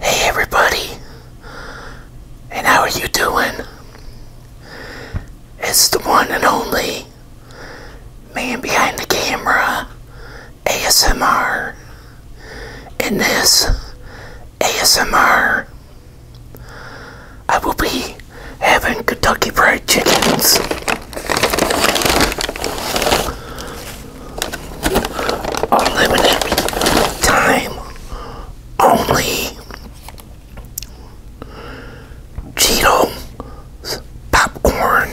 Hey everybody, and how are you doing? It's the one and only man behind the camera, ASMR. In this ASMR, I will be having Kentucky Fried Chickens. Limited time only. Cheeto popcorn.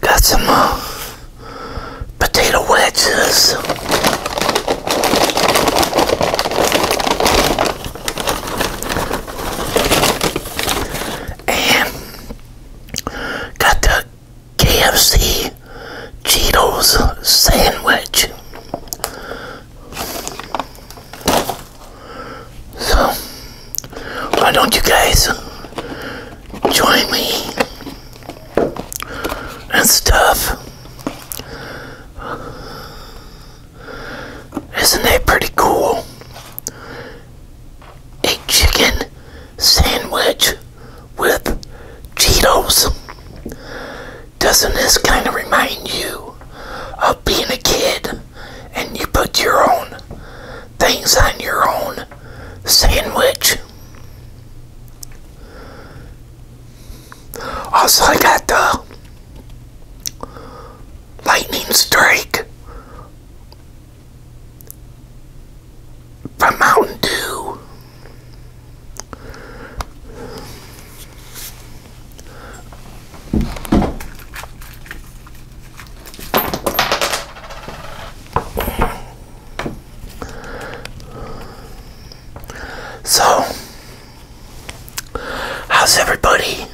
Got some uh, potato wedges. And got the KFC Cheetos sandwich. So, why don't you guys join me and stuff? Isn't that pretty cool? A chicken sandwich with Cheetos. Doesn't this kind of remind you of being a kid and you put your own things on your own sandwich? Also, I got the lightning strike from Mountain Dew. So, How's everybody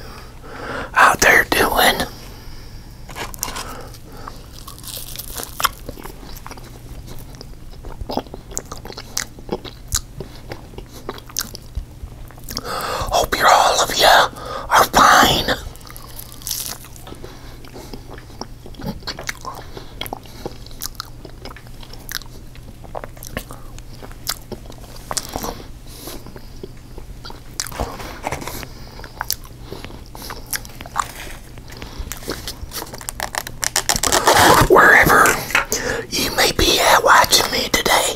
out there doing? Hope all of you are fine. Wherever you may be at watching me today,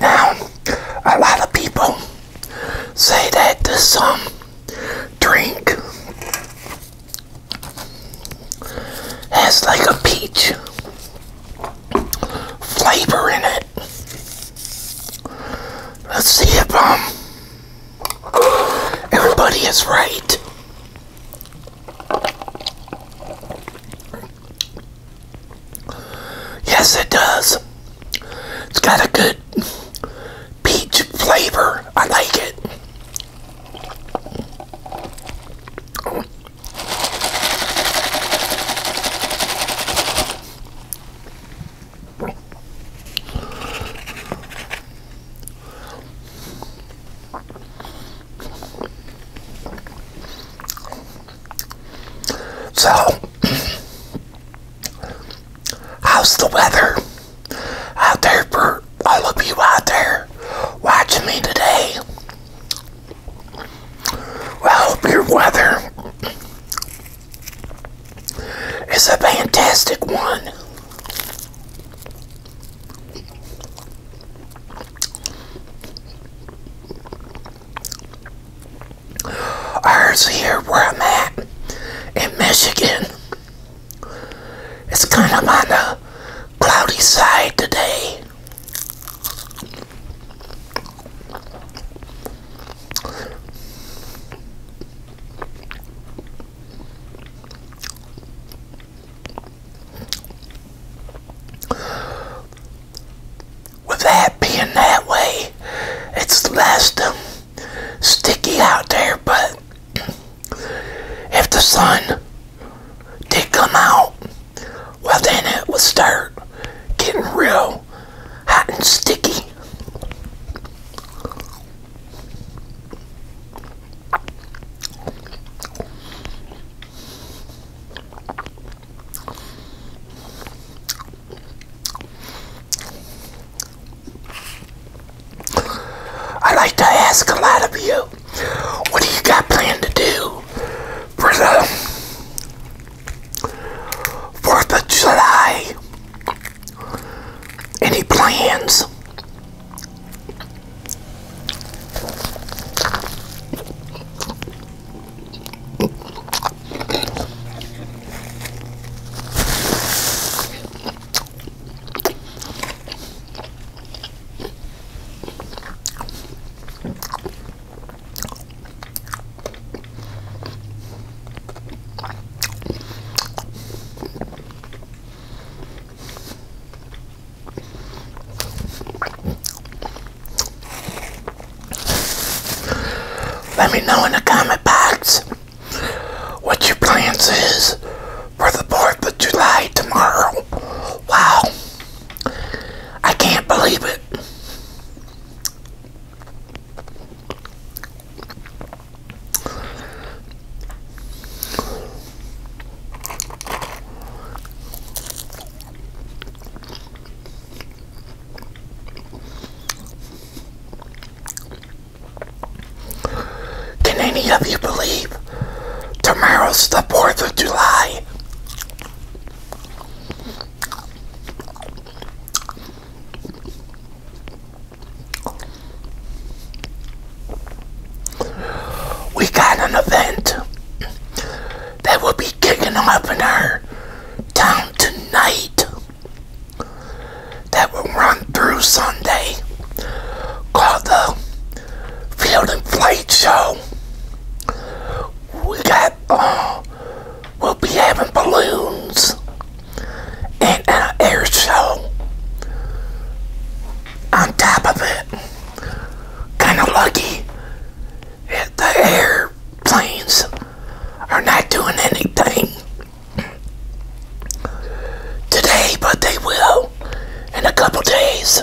Now, a lot of people say that this um drink has like a peach flavor in it. Let's see if um everybody is right. Yes, it does. It's got a good peach flavor. I like it. So, how's the weather out there for all of you out there watching me today? Well, your weather it's a fantastic one. Ours here where I'm at in Michigan. It's kind of on the cloudy side today. With that being that way, it's less um, sticky out there, but if the sun did come out, well, then it would start getting real hot and sticky. I like to ask a lot of you, what do you got planned to do for the Fourth of July. Any plans? Let me know in the comment box what your plans is for the 4th of July tomorrow. Wow. I can't believe it. Can any of you believe tomorrow's the 4th of July? We got an event that will be kicking off in our town tonight that will run through Sunday called the Field and Flight Show. We got uh, we will be having balloons and an air show on top of it. Kind of lucky the airplanes are not doing anything today, but they will in a couple days.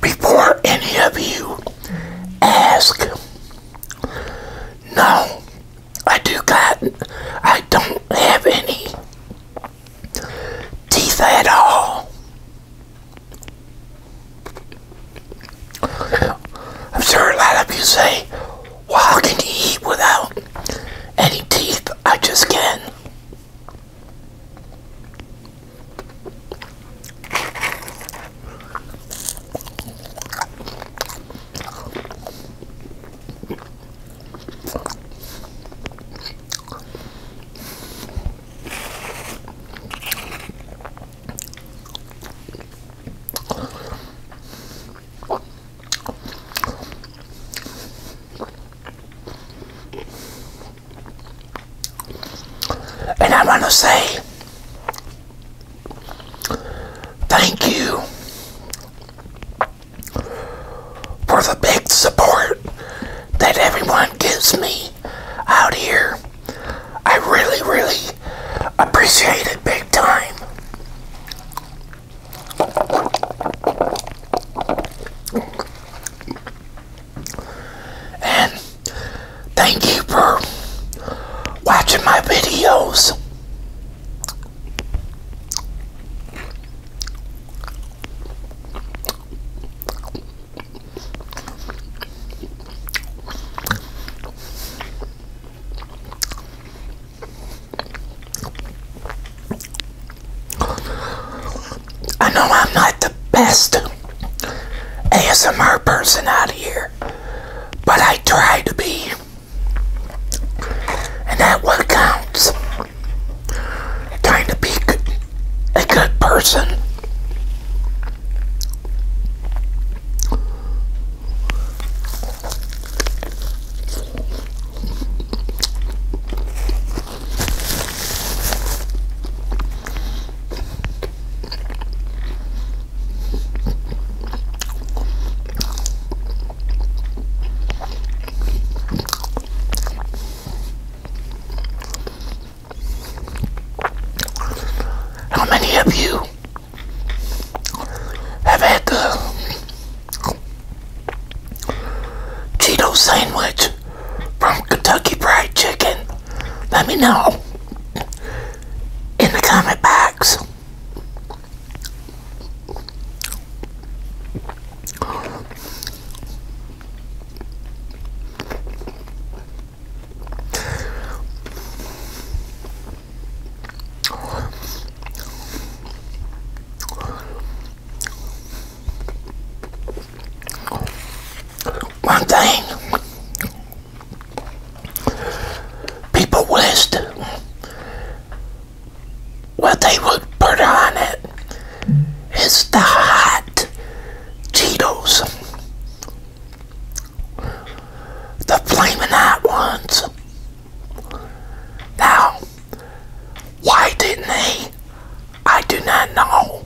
Before any of you ask, no, I do got, I don't have any teeth at all. I'm sure a lot of you say, well, can you eat without any teeth? I just can. And I want to say thank you for the big support that everyone gives me out here. I really, really appreciate it big time. And thank you for watching my videos. I know I'm not the best ASMR person out here, but I try to be. And that what counts. Trying to be a good person. How many of you have had Cheeto sandwich from Kentucky Fried Chicken? Let me know in the comment box. One thing people list what they would put on it is the hot Cheetos, the flaming hot ones. Now, why didn't he? I do not know.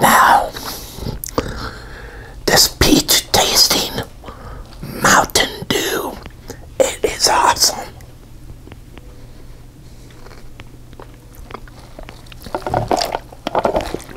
Now, this peach tasting Mountain Dew, it is awesome.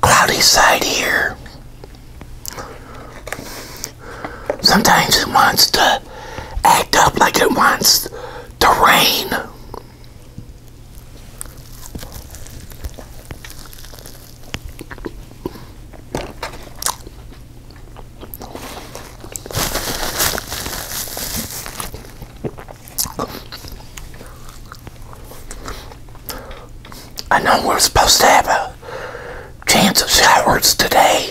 cloudy side here. Sometimes it wants to act up like it wants to rain. I know we're supposed to have a chance of showers today.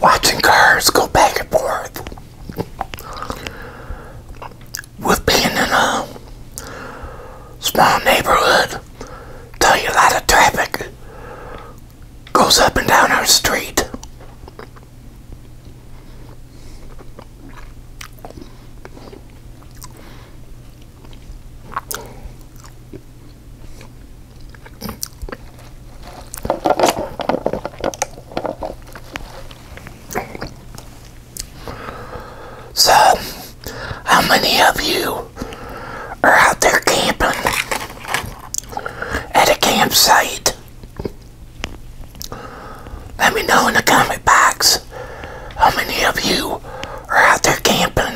Watching cars go back and forth with being in a small neighborhood, tell you a lot of traffic goes up and down our street. So, how many of you are out there camping at a campsite? Let me know in the comment box. How many of you are out there camping?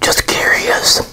Just curious.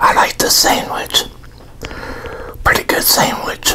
I like this sandwich. Pretty good sandwich.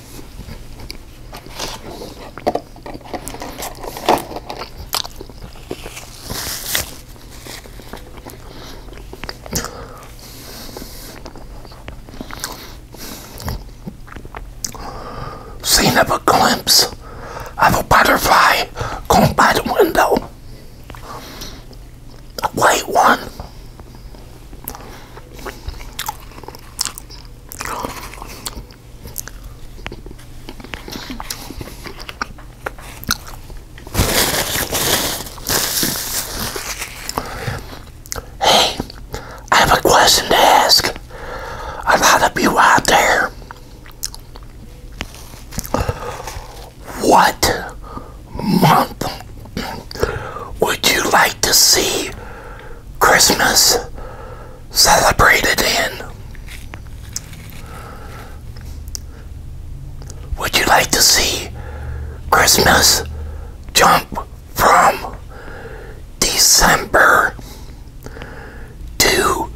Seen of a glimpse of a butterfly going by the window. A white one. Hey, I have a question to ask a lot of you out there. What month would you like to see Christmas celebrated in. Would you like to see Christmas jump from December to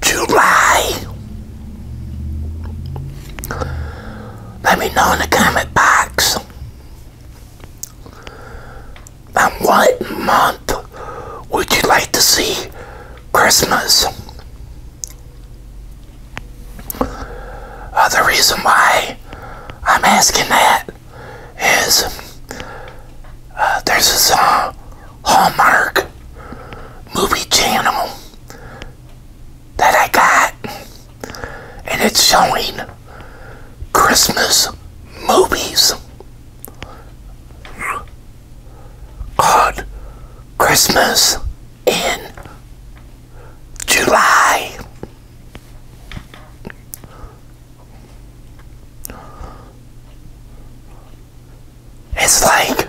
July? Let me know in the comment box um, what month would you like to see Christmas? Uh, the reason why I'm asking that is uh, there's a uh, Hallmark movie channel that I got, and it's showing Christmas movies called Christmas in July. It's like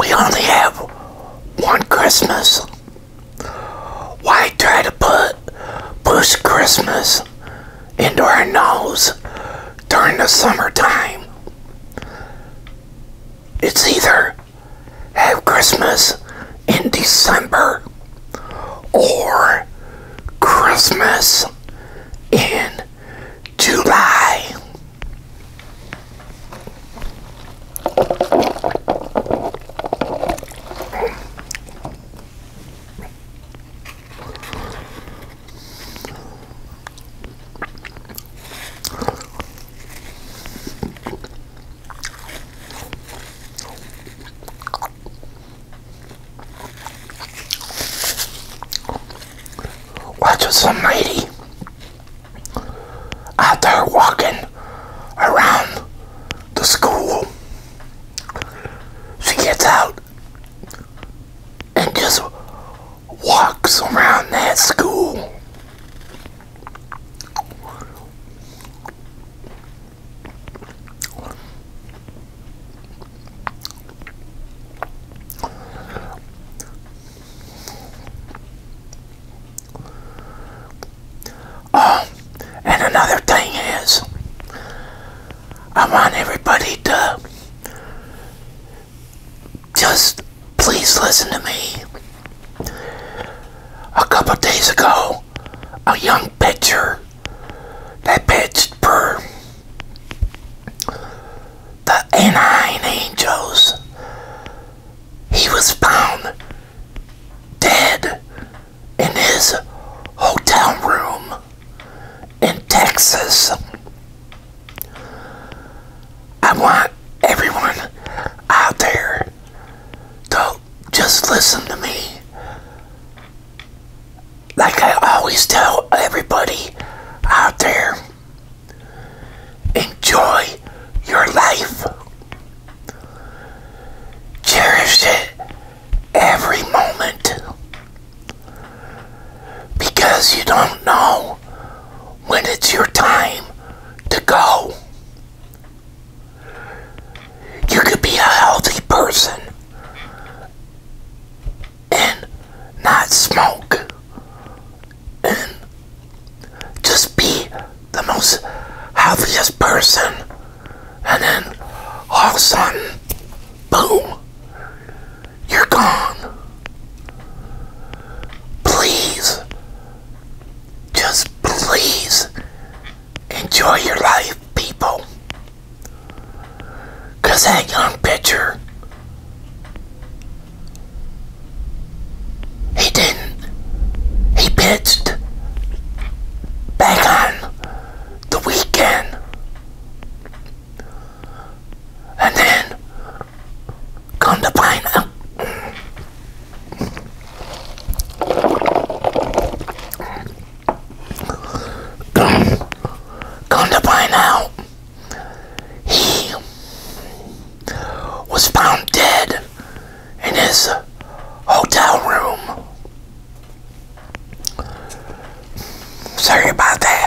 we only have one Christmas. Why try to put push Christmas into our nose during the summertime? It's either have Christmas in December or Christmas in July. Watch us, lady out there walking around the school. She gets out and just walks around that school. Oh, and another thing is, I want everybody to just please listen to me. A couple days ago, a young pitcher that pitched for the Anaheim Angels, he was found dead in his hotel room in Texas. I want everyone out there to just listen to me. Like I always tell everybody out there, enjoy your life. Cherish it every moment because you don't know when it's your time to go. You could be a healthy person and not smoke and just be the most healthiest person, and then all of a sudden, boom, you're gone. Please, just please enjoy your life, people. Because that young pitcher he didn't. He pitched back on the weekend. And then come to find out. come to find out, he was found dead in his hotel room. Sorry about that.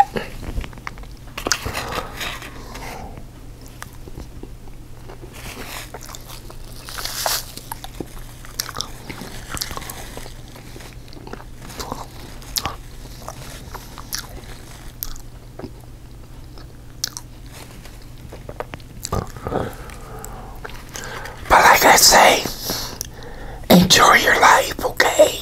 But like I say, enjoy your life, okay?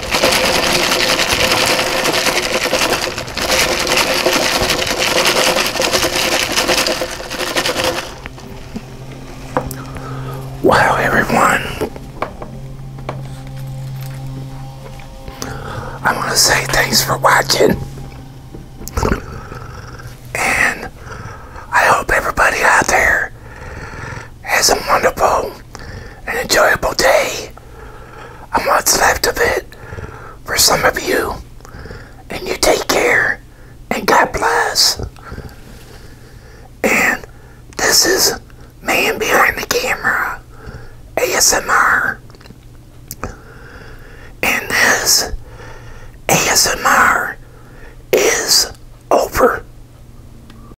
Wow, everyone. I want to say thanks for watching. And I hope everybody out there has a wonderful an enjoyable day, and what's left of it for some of you. And you take care, and God bless. And this is Man Behind the Camera, ASMR. And this ASMR is over.